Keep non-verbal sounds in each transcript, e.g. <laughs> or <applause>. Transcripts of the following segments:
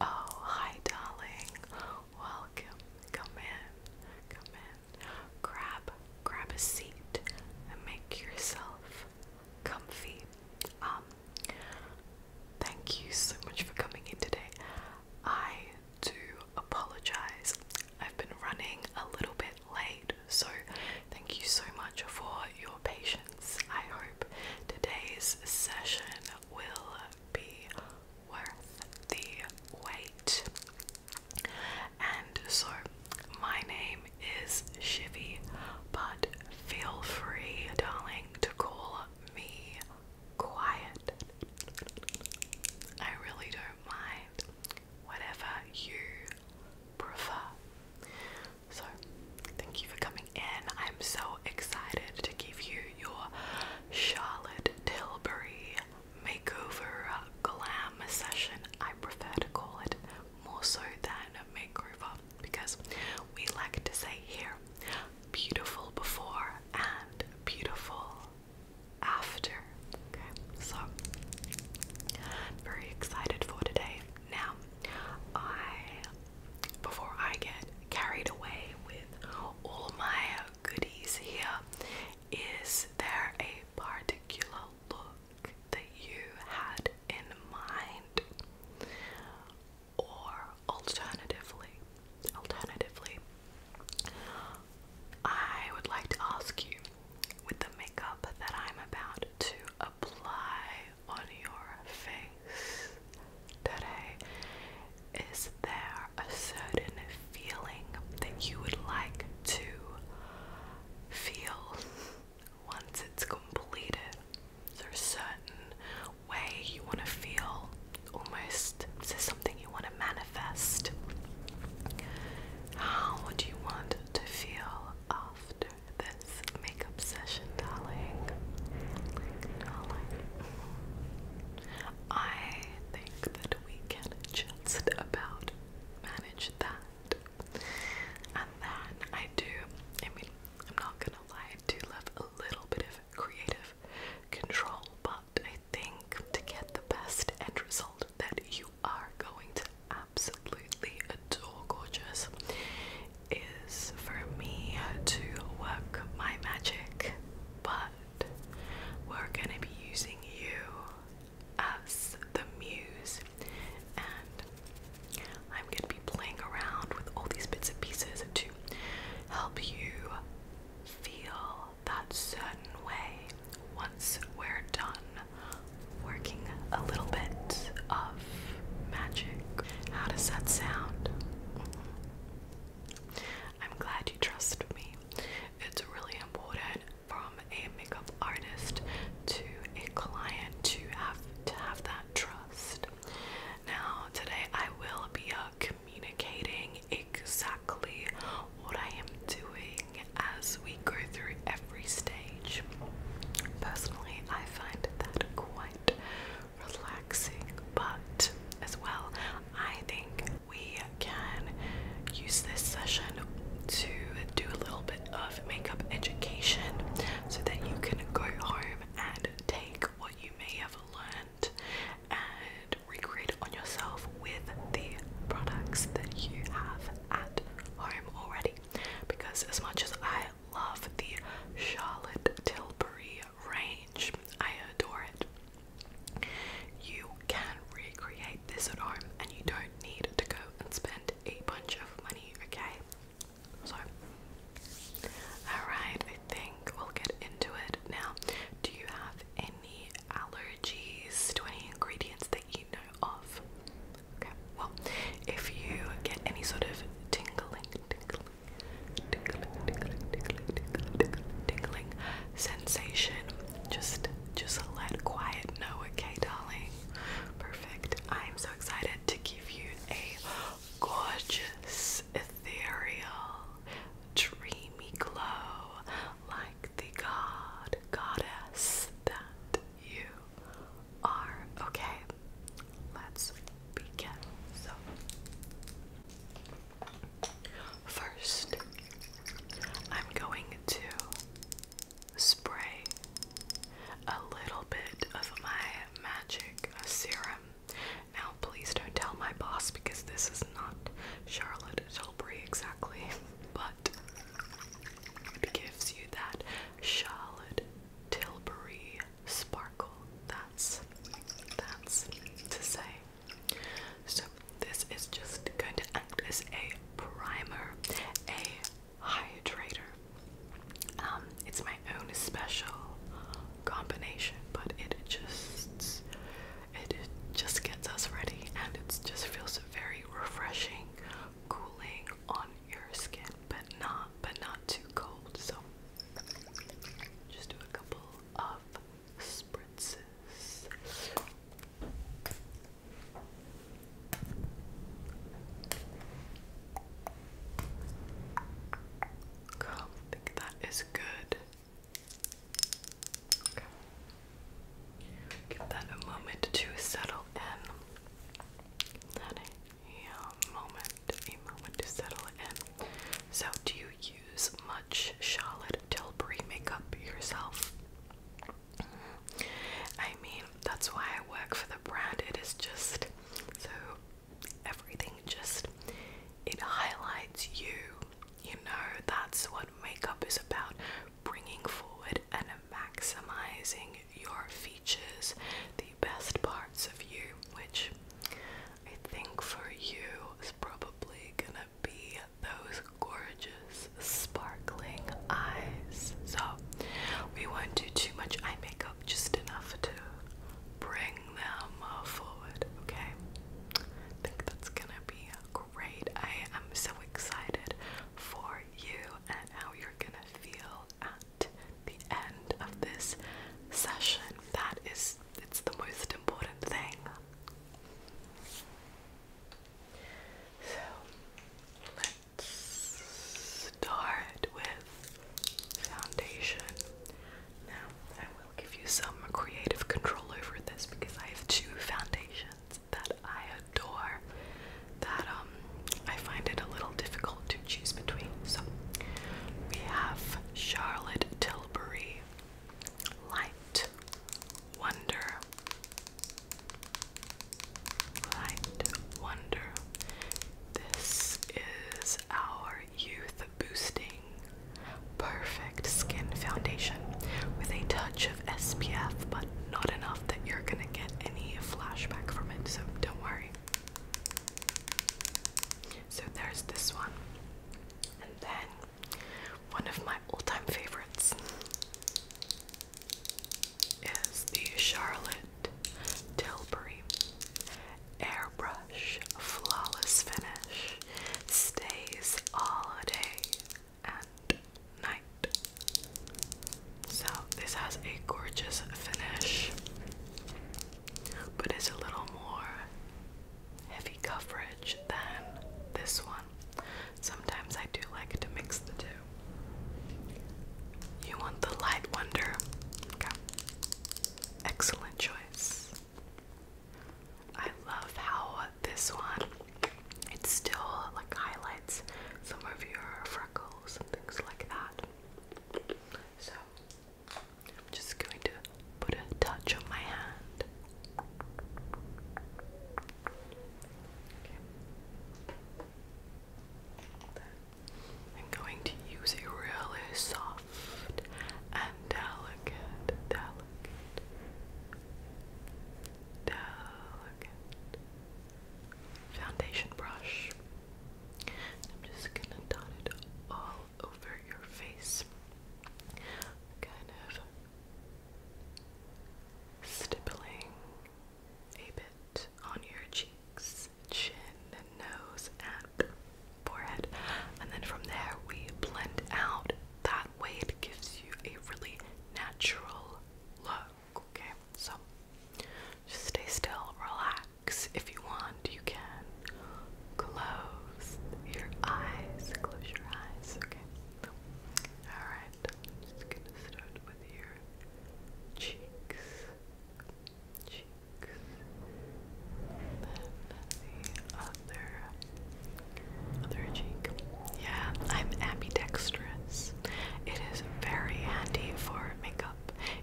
Oh, hi, darling. Welcome. Come in. Come in. Grab, grab a seat and make yourself comfy. Um, thank you so much for coming in today. I do apologize. I've been running a little bit late, so thank you so much for your patience I hope today's session will be worth the wait. And so, my name is Shivy, but feel free, darling, to call me quiet. I really don't mind. Whatever you prefer. So, thank you for coming in. I'm so excited to give you your Charlotte Tilbury makeover glam session. I prefer to call it more so than makeover because we like to say here beautiful before and beautiful after. so very excited for today. Now, I before I get carried away with all my goodies here, is there a particular look that you had in mind? Or alternatively, alternatively, I would like to ask you with the makeup that I'm about to apply on your face today? Is there a certain feeling that you would like to feel once it's completed? Is there a certain way you want to feel? Almost, is there something you want to manifest? How do you want to feel after this makeup session, darling. Darling. I think that we can just about manage that. And then I do, I mean, I'm not gonna lie, I do love a little bit of creative control, but I think to get the best end result that you are going to absolutely adore gorgeous is for me to work my magic, but we're gonna be using you as the muse, and I'm gonna be playing around with all these bits and pieces to help you feel that certain way once we're done working a little bit of magic. How does that sound? Mm-hmm. I'm glad you trust me. It's really important from a makeup artist to a client to have to have that trust. Now, today I will be uh, communicating exactly what I am doing as we go through every stage Personally, I find that quite relaxing, but as well, I think we can use this session to do a little bit of makeup education so that you can go home and take what you may have learned and recreate it on yourself with the products that you have at home already. Because as much as I love the Charlotte Tilbury range. I adore it. You can recreate this at home and you don't need to go and spend a bunch of money, okay? So, alright, I think we'll get into it now. Do you have any allergies to any ingredients that you know of? Okay, well, if you get any sort of tingling, tingling, tingling, tingling, tingling, tingling, tingling, tingling sensation, just just let quiet know, okay, darling. Perfect. I'm so excited to give you a gorgeous, ethereal, dreamy glow like the god goddess that you are. Okay, let's begin. So, first, I'm going to spray a little bit of my magic serum. Now, please don't tell my boss because this is not Charlotte Tilbury exactly, <laughs> but it gives you that Charlotte Tilbury Sparkle. That's that's to say. So this is just going to act as a primer, a hydrator. Um, it's my own special combination, but it just it just gets us ready, and it just feels very refreshing, cooling on your skin, but not but not too cold. So just do a couple of spritzes. I think that is good. Give that a moment to settle in. That a moment, a moment to settle in. So, do you use much Charlotte Tilbury makeup yourself? I mean, that's why I work for the brand. It is just so everything just it highlights you. You know, that's what makeup is about bringing forward an maximizing your features, the best parts of you, which I think for you is probably gonna be those gorgeous, sparkling eyes. So, we won't do too much eye makeup, just enough to bring them forward, okay? I think that's gonna be great. I am so excited for you and how you're gonna feel the end of this session. That is, it's the most important thing. So let's start with foundation. Now, I will give you some creative control over this because I have two foundations that I adore that um, I find it a little difficult to choose between. So we have Charlotte Tilbury Light Wonder. Light Wonder. This is our youth boosting perfect skin foundation with a touch of SPF, but not enough that you're gonna get any flashback from it, so don't worry. So there's this one. And then one of my all-time favorites is the Charlotte Tilbury Airbrush Flawless Finish. Stays all day and night. So this has a gorgeous finish, but it's a little more heavy coverage than this one. Sometimes I do like to mix the two. You want the light wonder? Excellent choice. I love how this one it still like highlights some of your and things like that. So I'm just going to put a touch on my hand. I'm going to use a really soft and delicate, delicate, delicate foundation brush. I'm just gonna dot it all over your face. Kind of stippling a bit on your cheeks, chin, and nose, and forehead. And then from there, we blend out. That way, it gives you a really natural look okay? So just stay still, relax. If you want, you can close your eyes. Close your eyes, okay? Alright, I'm just gonna start with your cheeks. Cheeks. Then the other other cheek. Yeah, I'm ambidextrous. It is very handy for makeup.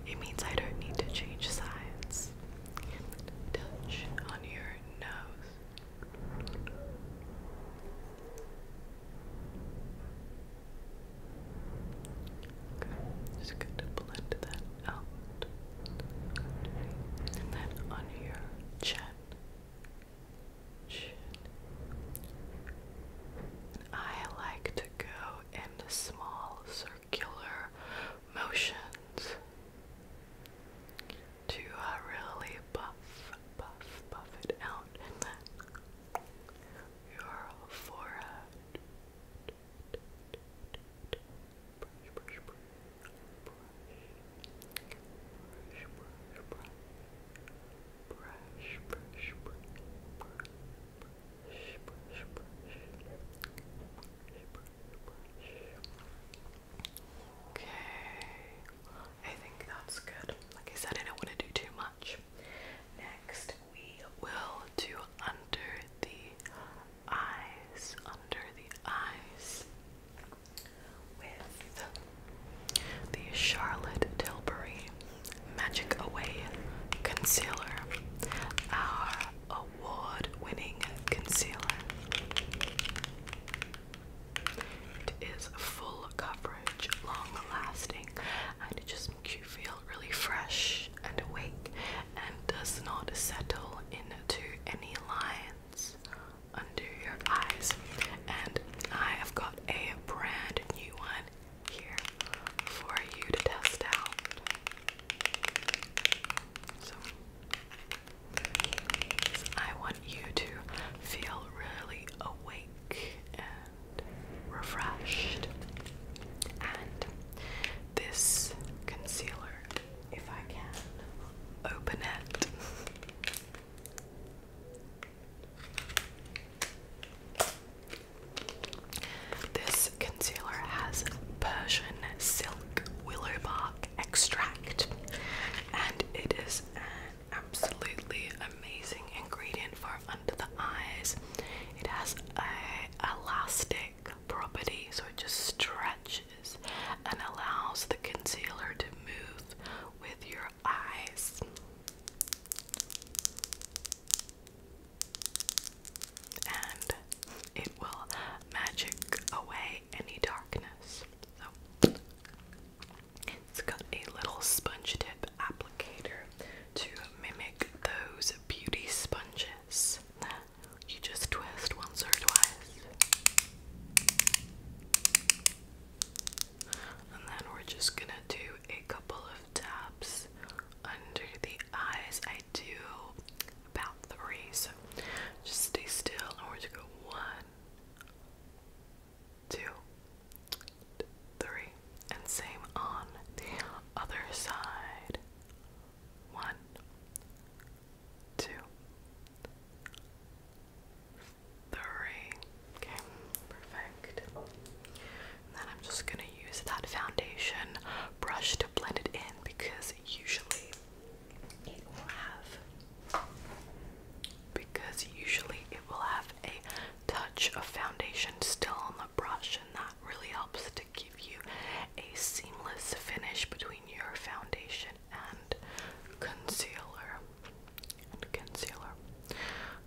It means I don't need to change sides. Touch on your nose. just going to blend that out. And then on your chin. I like to go in small circular motions to uh, really buff, buff, buff it out, your forehead. brush, brush, brush, brush, brush, brush, brush, brush, brush, brush, Okay, I think that's good. Like I said, I don't want to do too much. Next, we will do under the eyes, under the eyes with the Charlotte Tilbury Magic Away Concealer, our award winning concealer. It is full coverage, long lasting, and it just makes you feel really fresh and awake and does not settle into any lines under your eyes. And I have got a brand new one here for you to test out. So, I want you to feel really awake and refreshed. And this concealer, if I can, open it. <laughs> This concealer has Persian silk willow bark extract, and it is an absolutely amazing ingredient for under the eyes. It has a elastic property, so it just stretches and allows the concealer to move with your eyes and it will magic away any darkness. So it's got a little sponge tip applicator to mimic those beauty sponges that you just twist once or twice. And then we're just gonna do a couple of taps under the eyes. I do about three, so just stay still. I want to go one, two, three, and same on the other side. One, two, three. Okay, perfect. And then I'm just gonna use that foundation brush to blend it in because usually it will have because usually it will have a touch of foundation still on the brush and that really helps to give you a seamless finish between your foundation and concealer and concealer.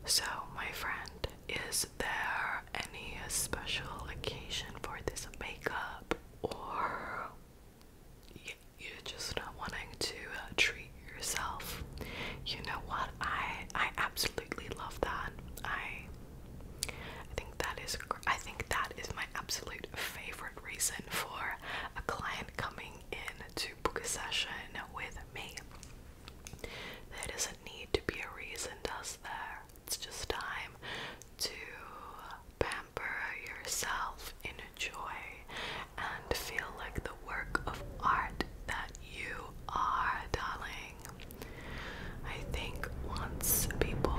So my friend is is there any special occasion for this makeup or you're just not wanting to uh, treat yourself? You know what? I I absolutely love that. I I think that is I think that is my absolute favorite reason for a client coming in to book a session with me. There doesn't need to be a reason, does there? It's just time to pamper yourself, in joy and feel like the work of art that you are, darling. I think once people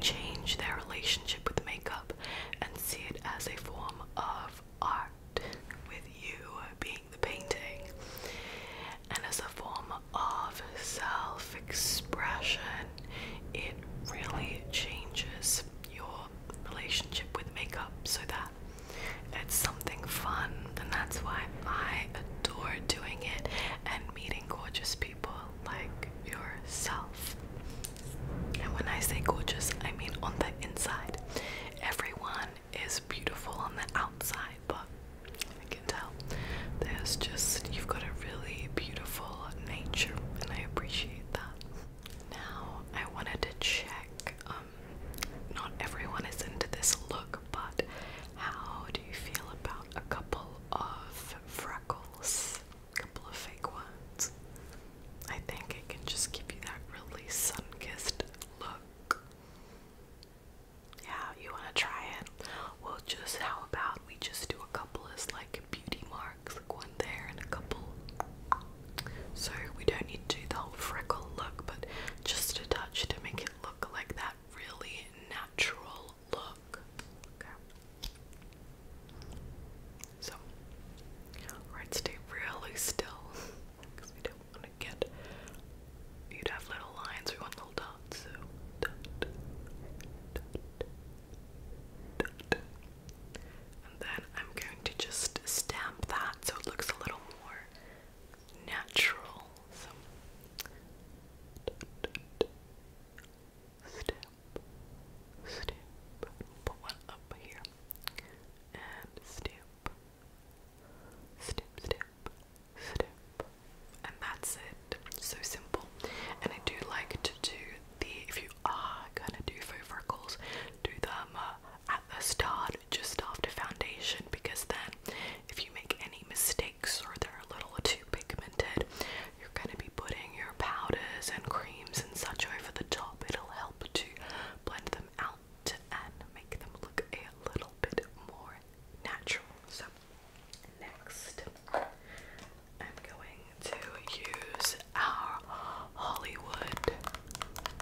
change their relationship with makeup and see it as a form of art, with you being the painting and as a form of self expression, it really changes your relationship with makeup so that it's something fun, and that's why I adore doing it and meeting gorgeous people like yourself. And when I say gorgeous, I mean on the inside. Everyone is beautiful on the outside, but I can tell there's just you've got a really beautiful nature, and I appreciate that. Now, I wanted to check um, not everyone is into this look, but how do you feel about a couple of freckles? A couple of fake ones. I think it can just give you that really sun kissed look. Yeah, you wanna try it? Well, just how about we just do a couple as like beauty marks, like one there and a couple. So we don't need to do the whole freckle look, but just a touch to make it look like that really natural look. Okay. So, let's stay really still because we don't want to get you'd have little lines or little dot, so And then I'm going to just stamp that so it looks a little more natural. stamp, stamp. Put one up here and stamp, stamp, stamp and that's it. So simple. And I do like to do the, if you are gonna do faux freckles, do them uh, at the start, just after foundation, because then if you make any mistakes or they're a little too pigmented, you're gonna be putting your powders and creams and such over the top. It'll help to blend them out to and make them look a little bit more natural. So, next, I'm going to use our Hollywood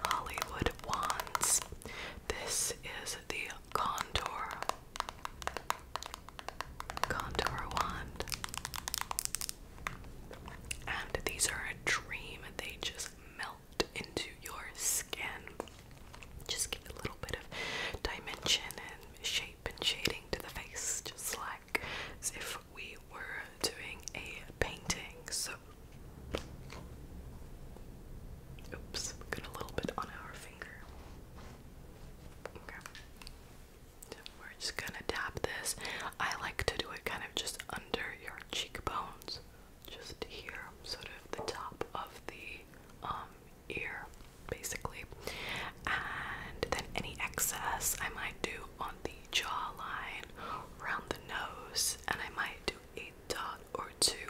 Hollywood wands. This is the contour contour wand. And these are a dream. They just melt into your skin. Just give a little bit of dimension and shape and shading to the face, just like as if we were doing a painting. So, oops, got a little bit on our finger. Okay. we're just gonna tap this. I like to do it kind of just under your cheekbones just here, sort of the top of the um, ear, basically. And then any excess I might do on the jawline, around the nose, and I might do a dot or two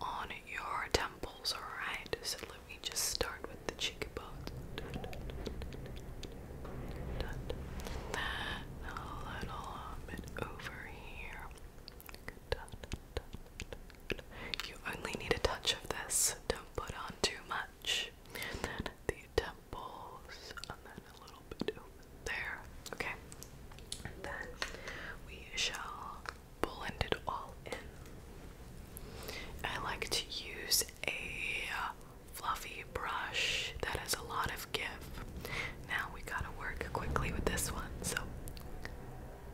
on your temples, alright? So let me just start with the cheekbones. A little bit over here. You only need a touch of this, don't put on too much. the temples, and then a little bit there. Okay. then we shall blend it all in. I like to use a uh, fluffy brush that has a lot of give. Now we gotta work quickly with this one, so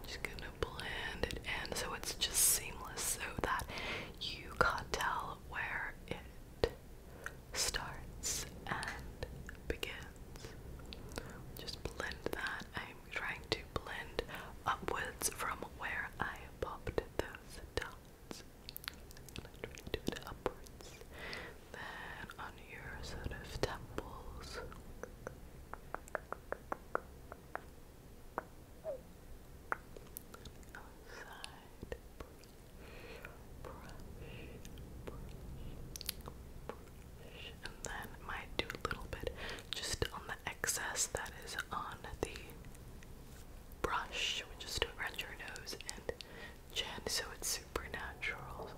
just gonna blend it in so it's just seamless so that you can't tell where it starts and begins. Just blend that. I'm trying to blend upwards from where I popped those dots. do it upwards. Then on your sort of temples outside brush, brush, and then might do a little bit just on the excess that is on the brush, which around your nose and chin, so it's supernatural.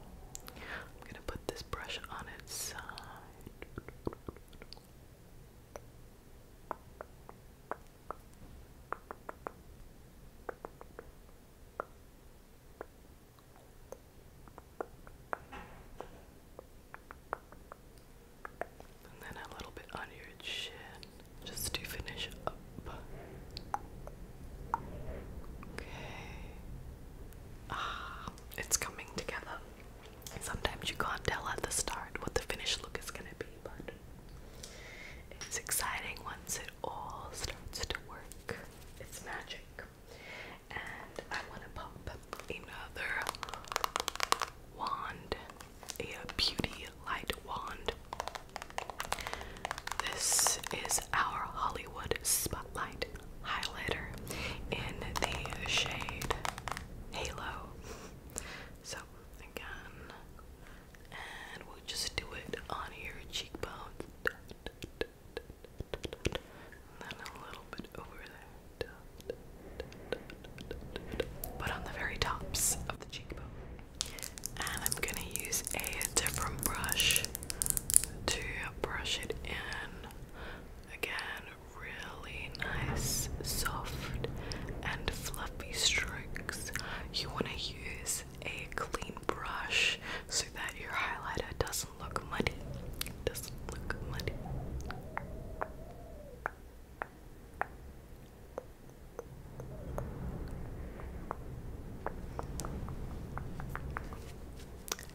I'm gonna put this brush on its uh, and then a little bit on your chin just to finish up. Okay. Ah it's coming together. Sometimes you can't tell at the start what the finished look is going to be, but it's exciting once it all starts to work. It's magic. And I want to pop another wand, a beauty light wand. This is our Hollywood Spotlight highlighter in the shade Halo. So, again, and we'll just do it on your cheekbone, then a little bit over there. But on the very tops of the cheekbone. And I'm gonna use a different brush to brush it in Again, really nice, soft, and fluffy strokes. You want to use a clean brush so that your highlighter doesn't look muddy. Doesn't look muddy.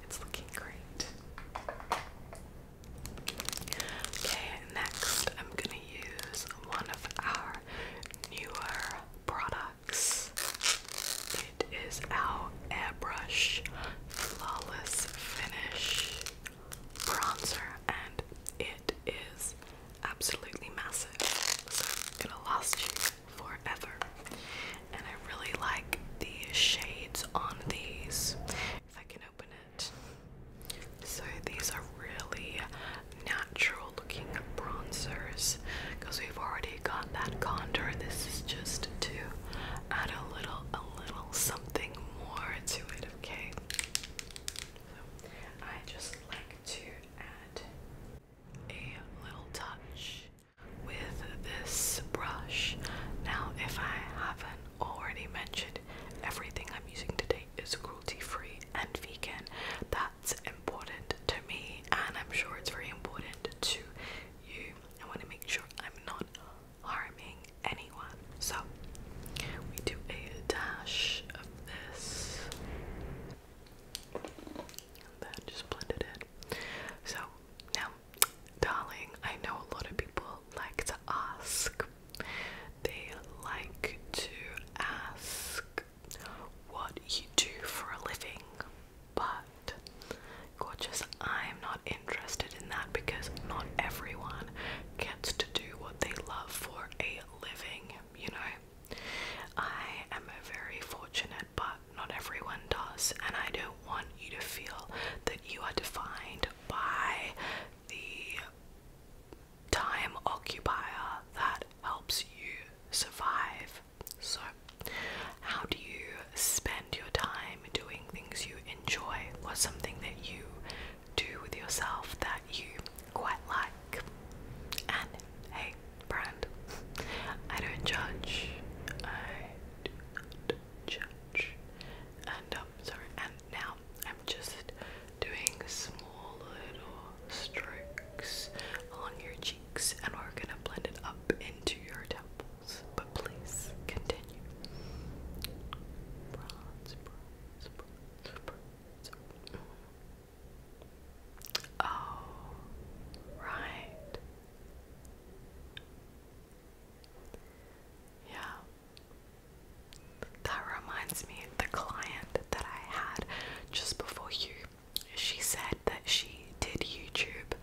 It's looking great. Okay, next I'm gonna use one of our newer products. It is our Airbrush Flawless Finish Bronzer, and it is absolutely massive, so it's gonna last you forever and I really like the shades on these. If I can open it. So these are really natural looking bronzers because we've already got that contour. This is just to add a little a little something more to it, okay? So I just like to add a little touch with this brush. Now, if I haven't already mentioned, everything I'm using today is cruelty free and vegan. That's important to me, and I'm sure it's very important to you. I want to make sure I'm not harming anyone. So, we do a dash of this. And then just blend it in. So, now darling, I know a lot of people like to ask. They like to ask what you do for a living, but gorgeous, I'm not interested in that because not everyone gets to do what they love for a living, you know. I am a very fortunate but not everyone does. And I don't want you to feel that you are defined by the time occupier that helps you survive. So, how do you spend your time doing things you enjoy? or something that you do with yourself that you quite like? And hey, brand, I don't judge judge. And um, sorry, and now I'm just doing small little strokes along your cheeks, and we're gonna blend it up into your temples. But please continue. Oh, right. Yeah. That reminds me, the client that I had just before you, she said that she did YouTube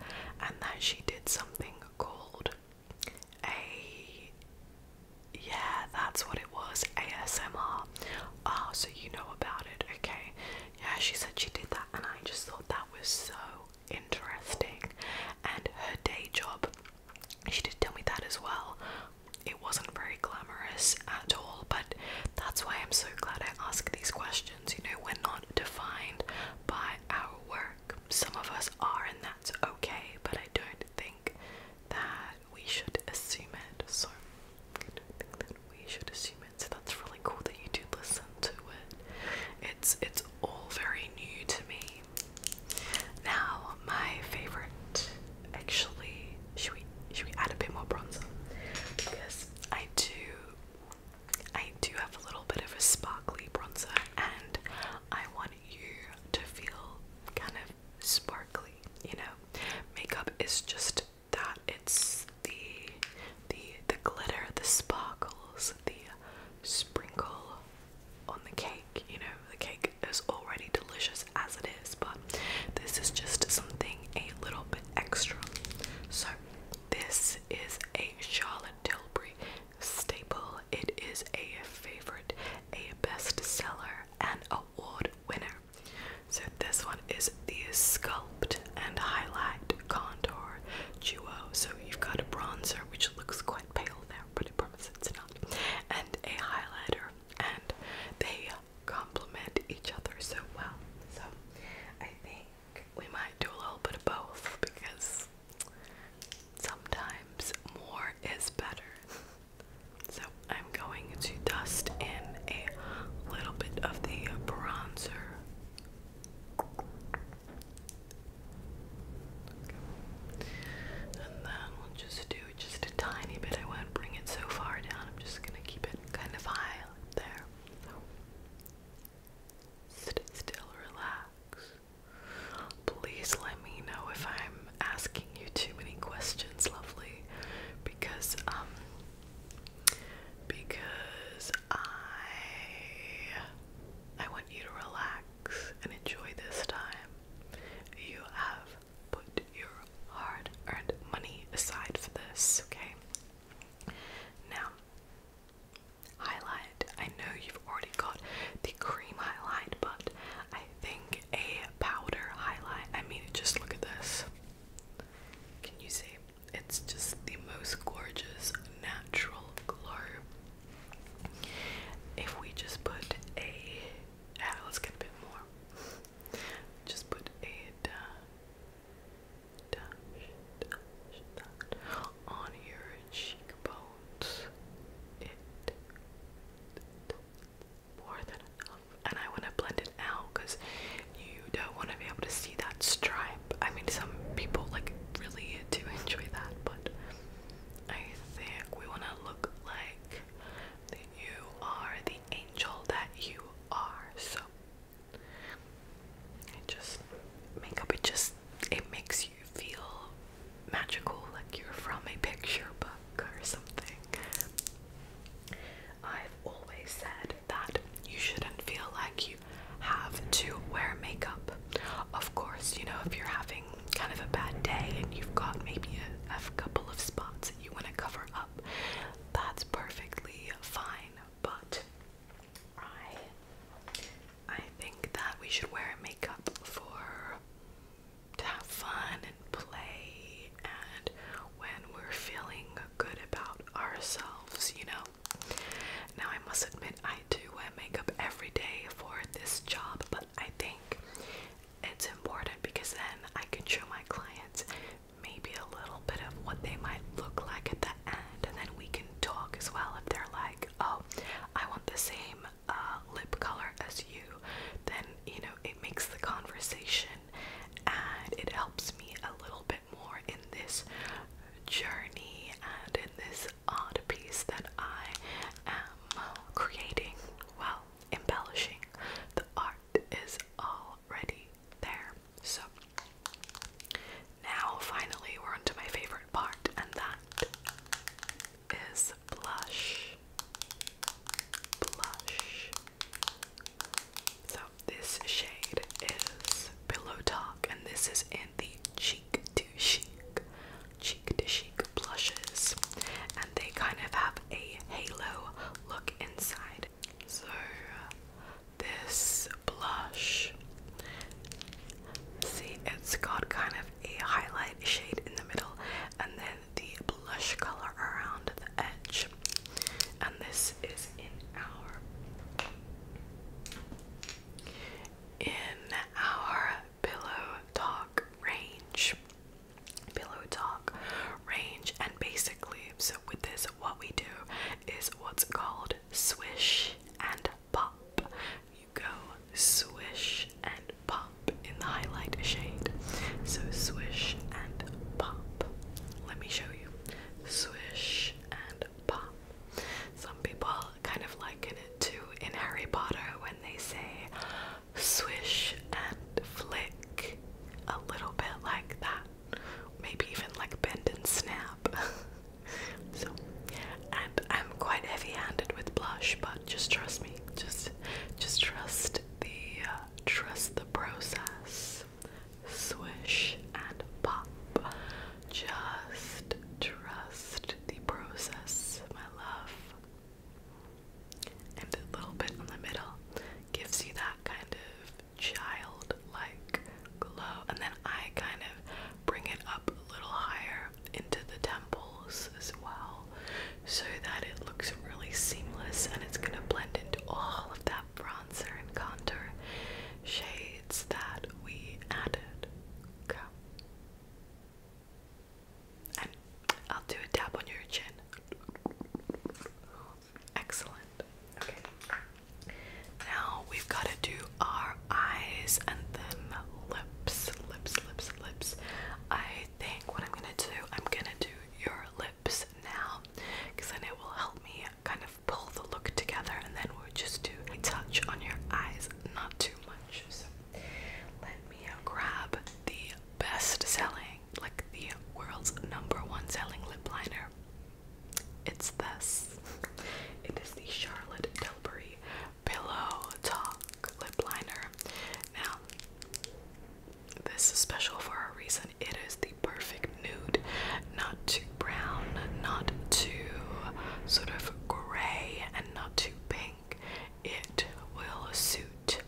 and that she did something called a. Yeah, that's what it was ASMR. Oh, so you know about it, okay. Yeah, she said she did that, and I just thought that was so interesting. And her day job, she did tell me that as well. It wasn't very glamorous at all, but that's why I'm so glad I ask these questions. You know, we're not defined by our work. Some of us are, and that's okay, but I don't think that we should assume it. So, I don't think that we should assume it. So, that's really cool that you did listen to it. It's it's all very new to me. Now my favorite actually should we should we add a bit more bronzer? Because I do I do have a little bit of a sparkly bronzer and I want you to feel kind of sparkly, you know. Makeup is just that it's the the the glitter, the sparkles, the sprinkle on the cake. You know, the cake is already delicious as it is, but this is just something a little bit extra. So this is a Charlotte Tilbury staple. It is a favorite, a bestseller, and award winner. So this one is the Sculpt and Highlight contour duo. So you've got a bronzer, which looks quite pale there, but I promise it's not, and a highlighter, and they complement each other so well. So I think we might do a little bit of both because sometimes more is better. So I'm going to dust in a little bit of the bronzer. And then we'll just do just a tiny bit. I won't bring it so far down. I'm just gonna keep it kind of high up there. still, relax. Please let me know if I'm asking you too many questions, lovely, because um, because I I want you to relax and enjoy this time. You have put your hard earned money aside for this, okay? Now, highlight. I know you've already got the cream highlight, but I think a powder highlight. I mean, just look at this. Can you see? It's just the most gorgeous natural glow. If we just put a, yeah, let's get a bit more. Just put a dash, dash, dash on your cheekbones. It more than enough, and I want to blend it out because you don't want to be able to see that stripe. I mean, some people like really do enjoy that, but I think we want to look like that you are the angel that you are. So it just makeup. It just it makes you feel magical, like you're from a picture book or something. I've always said that you shouldn't feel like you have to wear makeup. Of course, you know, if you're having kind of a bad day and you've got maybe a, couple of spots that you want to cover up, that's perfectly fine. But I I think that we should wear makeup for to have fun and play and when we're feeling good about ourselves, you know. Now, I must admit, I do wear makeup every day for this job, but I think it's important because then I can show my clients maybe a little bit of what they might look like at the end, and then we can talk as well. If they're like, oh, I want the same uh, lip color as you, then you know, it makes the conversation and it helps me a little bit more in this journey and in this art piece that I am creating. Well, embellishing. The art is already there. So now finally we're on to my favorite part and that is blush. Blush. So this shade is Pillow Talk and this is in the cheek to chic, cheek to chic blushes, and they kind of have a halo look inside. So, this blush, see, it's got kind of a highlight shade in the middle, and then the blush color around the edge. And this is in our in our pillow talk range. Pillow talk range, and basically, so with this, what we do is what's called swish and pop. You go swish and pop in the highlight shade. So, swish and pop. Let me show you. Swish and pop. Some people kind of liken it to in Harry Potter when they say swish and flick, a little bit like that, maybe even like bend and snap. <laughs> so, and I'm quite heavy-handed with blush, but just trust me, just just trust the uh, trust the process. Swish and pop. Just trust the process, my love. And the little bit in the middle gives you that kind of childlike glow. And then I kind of bring it up a little higher into the temples as well so that it looks really seamless and it's going to blend into all of that bronzer and contour shade it's that we added. Okay. And I'll do a tap on your chin. Excellent. Okay. Now we've got to do our eyes and then lips, lips, lips, lips. I think what I'm gonna do, I'm gonna do your lips now, because then it will help me kind of pull the look together, and then we'll just do a touch on your eyes, not too much. So let me uh, grab the best-selling, like the world's number one selling lip liner. It's this. It is the Charlotte Tilbury Pillow Talk Lip Liner. Now, this is special for a reason. It is the perfect nude, not too brown, not too sort of gray, and not too pink. It will suit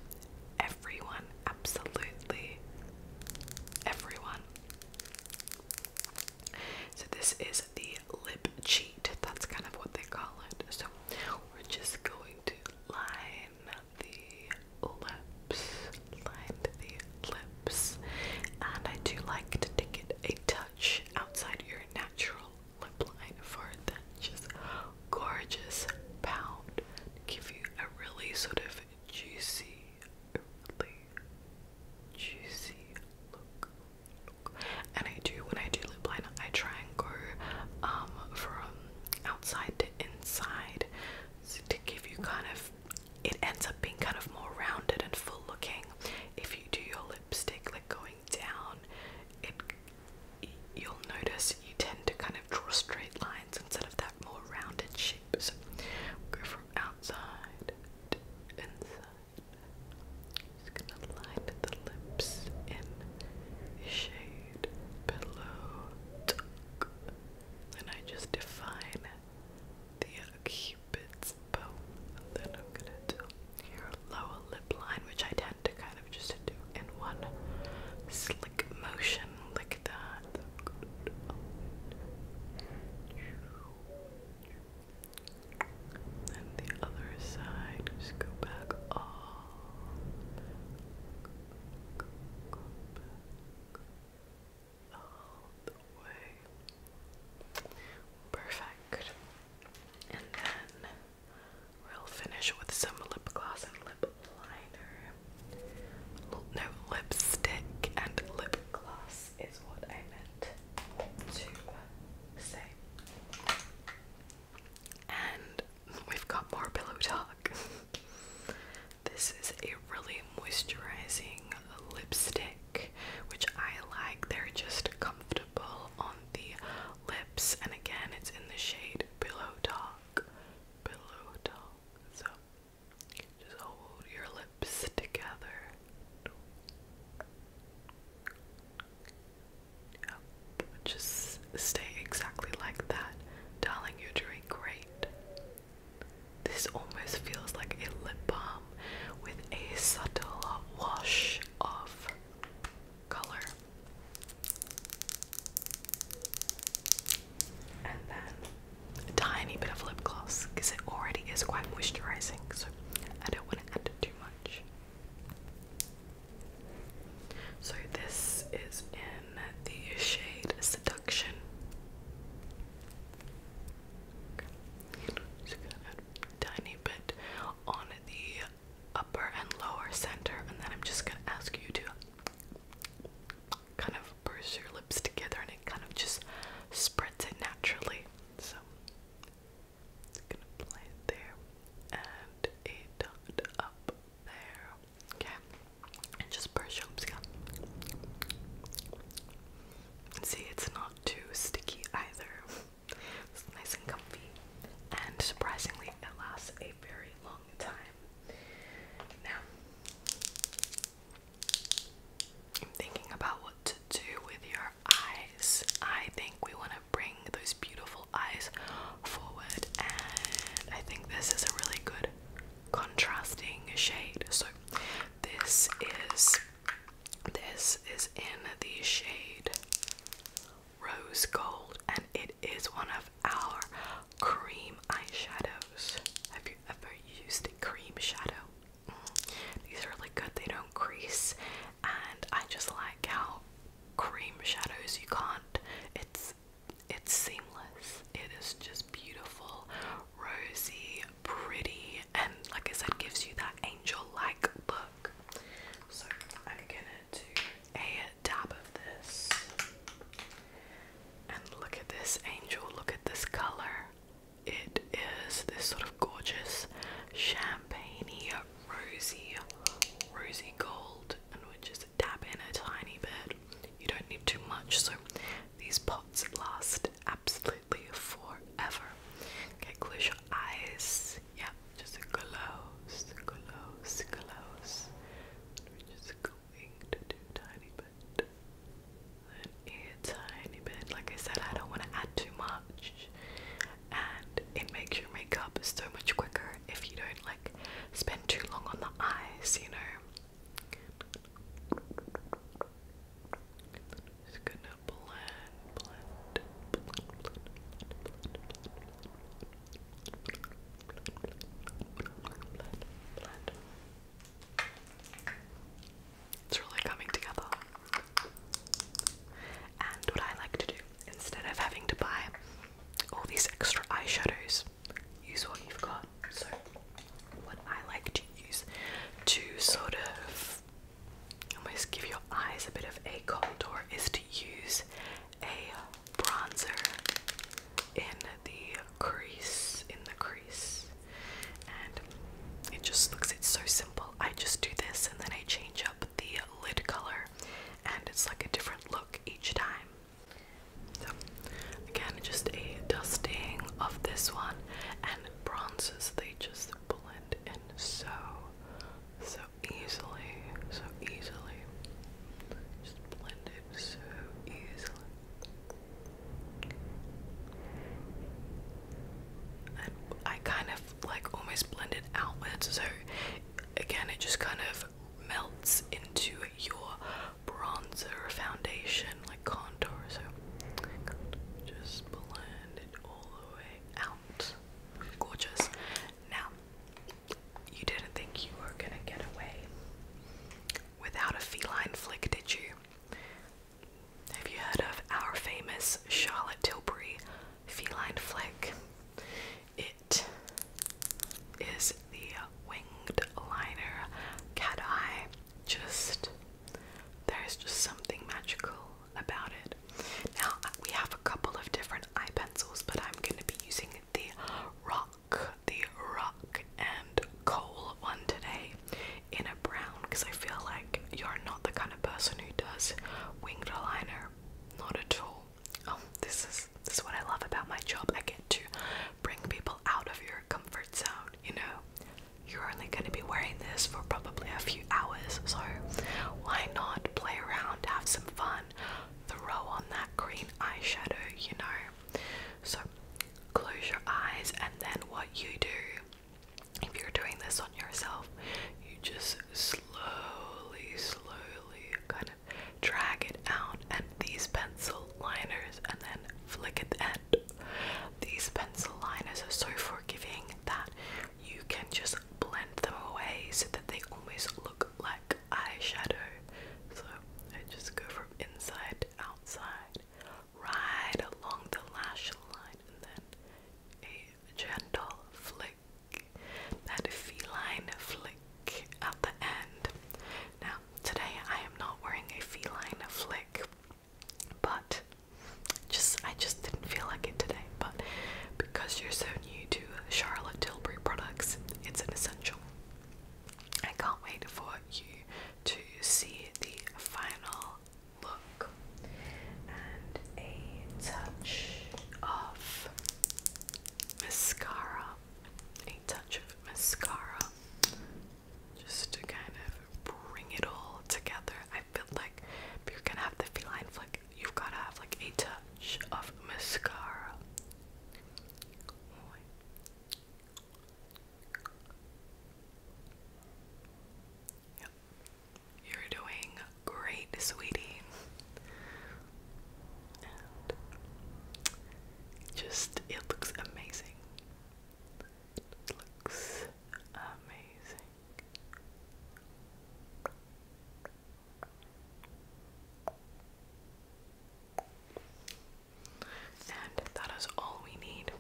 everyone, absolutely everyone. So, this is the lip cheat, that's kind of what they call it. So, we're just going to line the lips, line the lips, and I do like to take it a outside your natural lip line for that just gorgeous pound give you a really sort of juicy, juicy look. And I do when I do lip line, I try and go um, from outside to inside to give you kind of it ends up being kind of more rounded and full looking. If you do your lipstick like going down, it you'll notice you tend to kind of draw straight lines instead of that more rounded shape. we go from outside to inside. Just gonna line the lips in shade below. And I just define the cupid's bow. then I'm gonna do your lower lip line, which I tend to kind of just do in one slick motion, like that. And the other side, just go back all. Perfect. And then we'll finish with some lip gloss and lip liner. no, lipstick and lip gloss is what I meant to say. And we've got more pillow talk. <laughs> this is a really moisturizing lipstick which I like. They're just comfortable on the lips, and again, it's in the shade below Talk. Pillow Talk. So just hold your lips together. Yep. Just stay exactly like that. Darling, you're doing great. This almost feels like a lip balm with a subtle wash of color. And then a tiny bit of lip gloss because it already is quite moisturizing, so I don't want to add too much. So, this is in the shade Seduction a tiny bit on the upper and lower center, and then I'm just gonna ask you to kind of brush your lips together, and it kind of just spreads it naturally. So, just gonna apply it there and a up there. Okay, and just brush your lips again. See, it's not too sticky either. It's nice and comfy. And surprisingly, it lasts a very long time. Now, I'm thinking about what to do with your eyes. I think we want to bring those beautiful eyes forward, and I think this is a really good contrasting shade. So, this is this is in the shade Rose Gold, and it is one of our cream eyeshadows. Have you ever used a cream shadow? Mm. These are really good, they don't crease, and I just like how cream shadows you can't. It's it's seamless. It is just beautiful, rosy, pretty, and like I said gives you that angel like look. So I'm gonna do a dab of this and look at this angel, look at this colour. It is this sort of gorgeous champagne rosy rosy gold and we are just dab in a tiny bit. You don't need too much so these pots last absolutely completely forever. Okay, close your eyes. Yeah, just close, close, close. just going to do a tiny bit. A tiny bit. Like I said, I don't want to add too much. And it makes your makeup so much quicker if you don't like spend too long on the eyes, you know. Just going it's really coming together. And what I like to do, instead of having to buy all these extra eyeshadows, use what you've got. So, what I like to use to sort of almost give your eyes a bit of a contour is to use a bronzer in the crease, in the crease. And it just looks, it's so simple. I just do this and then I change up the lid color and it's like a different look each time. So, again, just a dusting of this one and bronzers they just blend in so, so easily, so easily. Just blend in so easily. And I kind of like almost blended outwards, so again, it just kind of melts into your bronzer foundation, like contour. So just blend out. Gorgeous. Now, you didn't think you were gonna get away without a feline flick, did you? Have you heard of our famous Charlotte Tilbury feline flick? It is the winged liner cat eye just there's just something magical about it. Now uh, we have a couple of different eye pencils, but I'm going to be using the rock, the rock and coal one today in a brown because I feel like you're not the kind of person who does winged eyeliner, not at all. Oh, this is this is what I love about my job. I get to bring people out of your comfort zone, you know you're only going to be wearing this for probably a few hours, so why not play around, have some fun, throw on that green eyeshadow, you know? So close your eyes, and then what you do, if you're doing this on yourself, you just slowly, slowly kind of drag it out, and these pencil liners, and then flick at the end. These pencil liners are so forgiving that you can just blend them away so that they always look like eyeshadow. So I just go from inside outside, right along the lash line, and then a gentle flick, that feline flick at the end. Now, today I am not wearing a feline flick but just I just didn't feel like it today. But because you're so new to Charlotte Tilbury products, it's an essential. I can't wait for you to see the final look and a touch of mascara. A touch of mascara just to kind of bring it all together. I feel like if you're gonna have the feline flick, you've gotta have like a touch of mascara. You're doing great, sweetie. just, it looks amazing. It looks amazing. And that is all we need.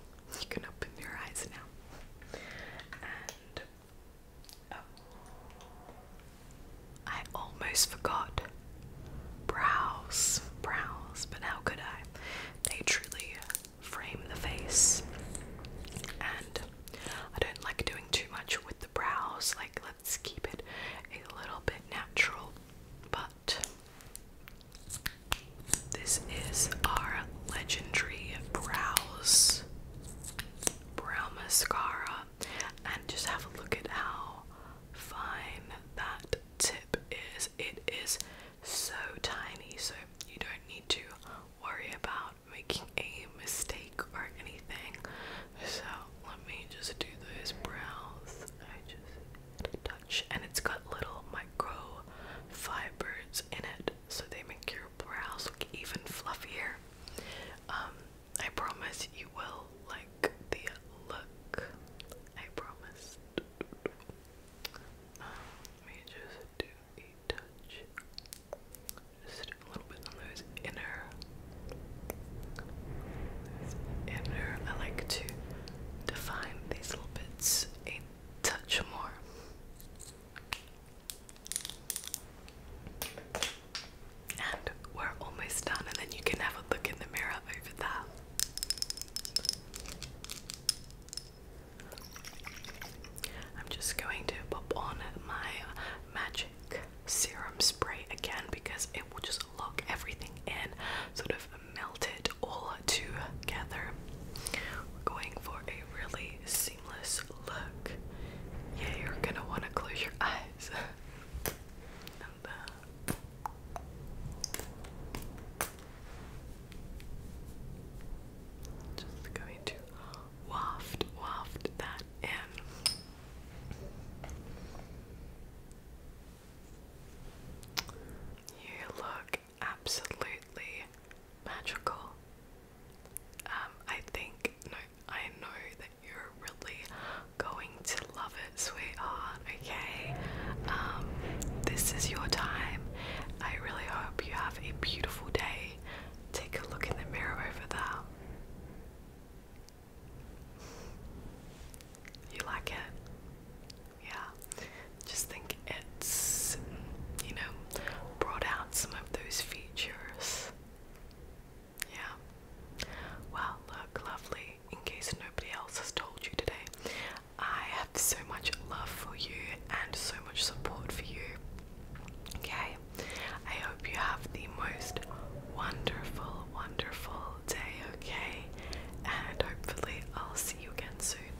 You can open your eyes now. And oh, I almost forgot brows, brows, but how could I? They truly frame the face. And I don't like doing too much with the brows, like, let's keep it a little bit natural. But this is our legendary brows brow mascara, and just have a look at how fine that tip is. It is so tiny, so you don't need to worry about making a mistake or anything. So let me just do those brows. I just touch, and it's got little micro fibers in it, so they make your brows look even fluffier. Um, I promise you will like the look. I promise. Um, let me just do a touch. Just a little bit on those inner. inner. I like to define these little bits a touch more. And we're almost done, and then you can have a look in the mirror over that. I'm just going to pop on my magic serum spray again because it will just lock everything in, sort of melt it all together. We're going for a really seamless look. Yeah, you're gonna want to close your eyes. <laughs> Uh, just going to waft, waft that in. You look absolutely magical. Um, I think no, I know that you're really going to love it, sweetheart. Okay, um, this is your time. I really hope you have have a beautiful day. Take a look in the mirror over there. You like it? Yeah. Just think it's, you know, brought out some of those features. Yeah. Well, look, lovely. In case nobody else has told you today, I have so much love for you and so much support for you. Okay, I hope you have the most wonderful, wonderful day. Okay, and hopefully, I'll see you again soon.